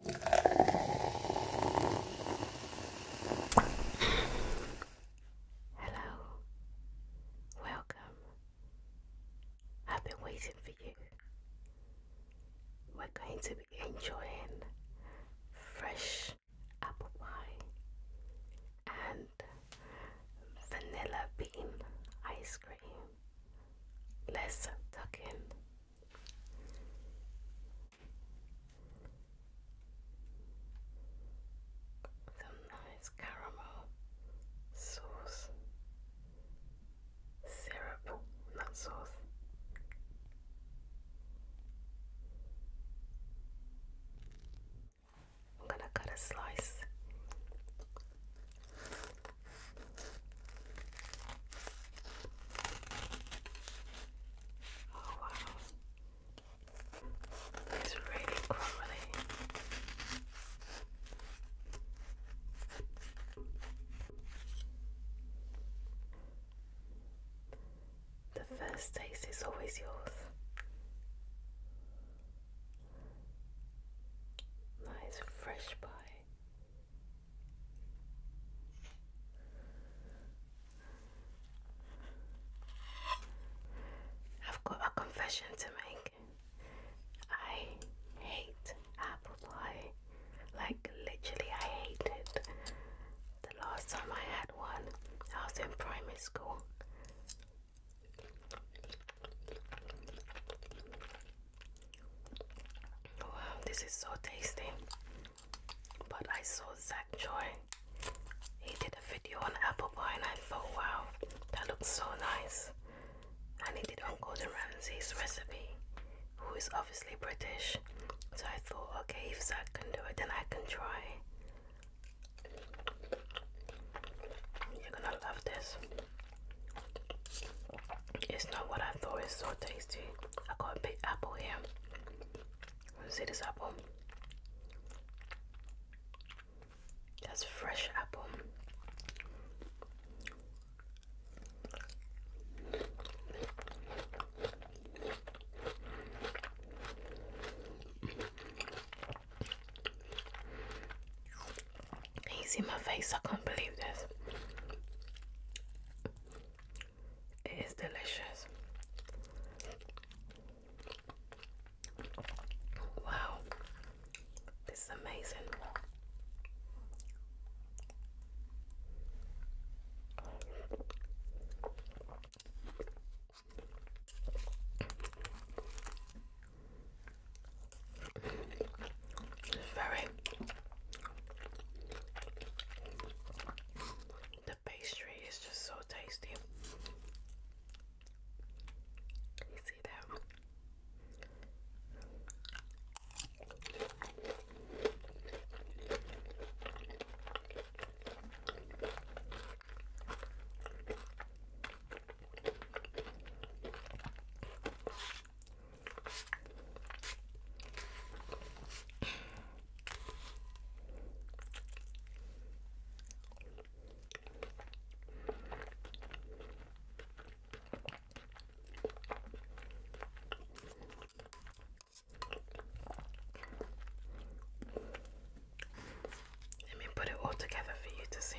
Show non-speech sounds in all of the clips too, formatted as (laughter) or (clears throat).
Hello, welcome. I've been waiting for you. We're going to be enjoying fresh apple pie and vanilla bean ice cream. Let's tuck in. Some nice caramel sauce, syrup, not sauce. I'm gonna cut a slice. Oh wow. It's really crumbly. The first taste is always yours. Nice fresh pie. I've got a confession to make. I hate apple pie. Like, literally, I hate it. The last time I had one, I was in primary school. Wow, this is so tasty. But I saw Zach Joy. He did a video on apple pie and I thought, wow, that looks so nice. And he did on Gordon Ramsay's recipe, who is obviously British. So I thought, okay, if Zach can do it, then I can try. You're gonna love this. It's not what I thought. It's so tasty. I got a big apple here. See this apple? That's fresh apple. Can you see my face? I can't believe this. It is delicious. Wow, this is amazing. Very. The pastry is just so tasty. You see that? Let me put it all together for you to see.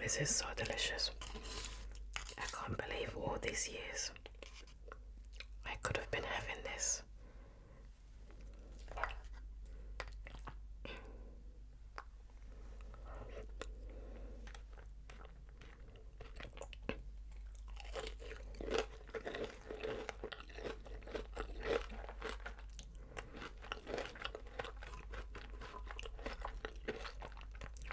This is so delicious. I can't believe all these years I could have been having this.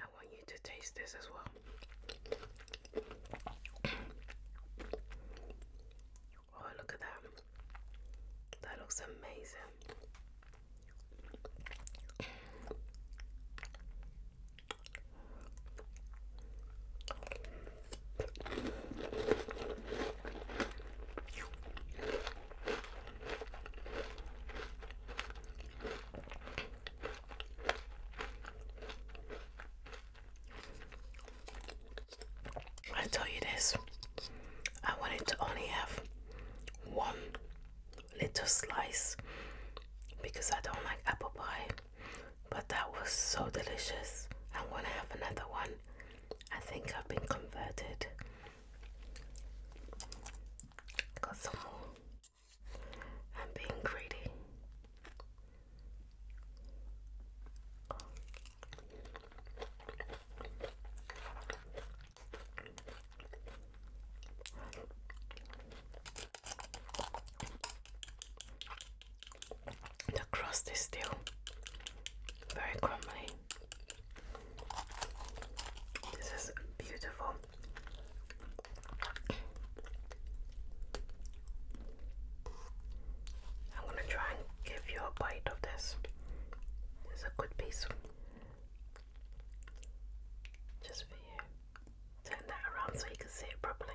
I want you to taste this as well. (clears throat) oh, look at that. That looks amazing. I told you this, I wanted to only have one little slice because I don't like apple pie, but that was so delicious. I'm gonna have another one. I think I've been converted. Got some more. I'm being greedy. The crust is still very crumbly. This is beautiful. I'm gonna try and give you a bite of this. It's a good piece. Just for you. Turn that around so you can see it properly.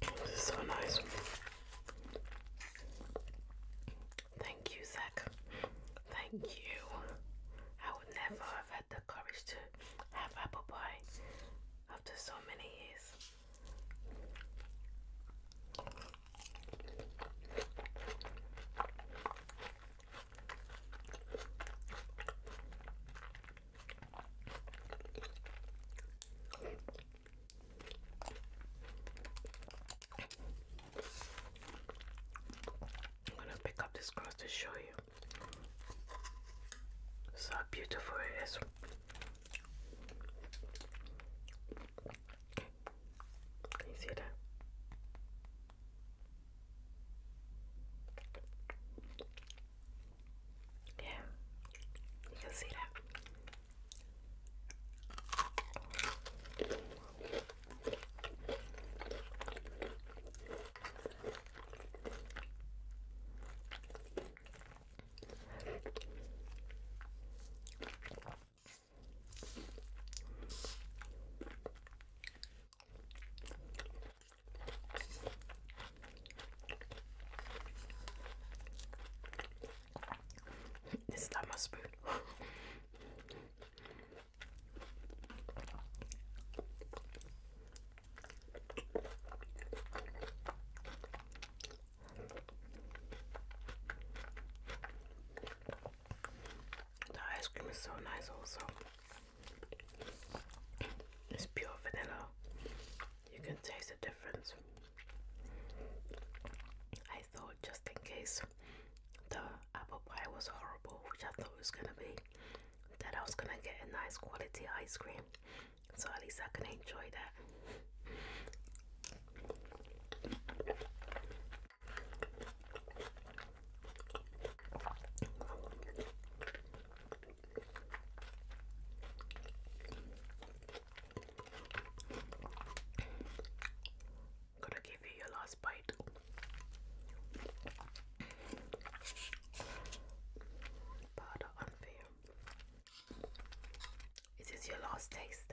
This is so nice. Thank you, Zach. Thank you. I would never have had the courage to have apple pie after so many years. I'm gonna pick up this cross to show you. So beautiful it is. Can you see that? Yeah, you can see that. This is not my spoon. the ice cream is so nice also. It's pure vanilla. You can taste the difference. I thought just in case the apple pie was horrible, which I thought was gonna be, that I was gonna get a nice quality ice cream. So at least I can enjoy that. Gonna give you your last bite. Powder Is your last taste?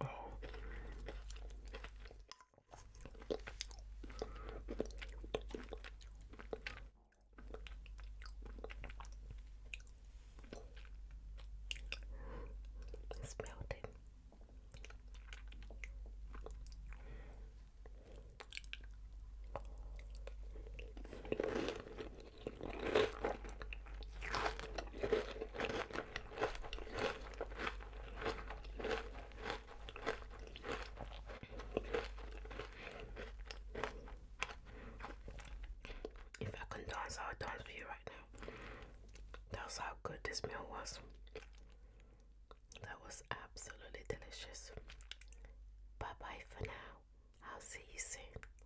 Oh. It's melting. If I can dance, I'll dance for you right now. That's how good this meal was. That was absolutely delicious. Bye bye for now. I'll see you soon.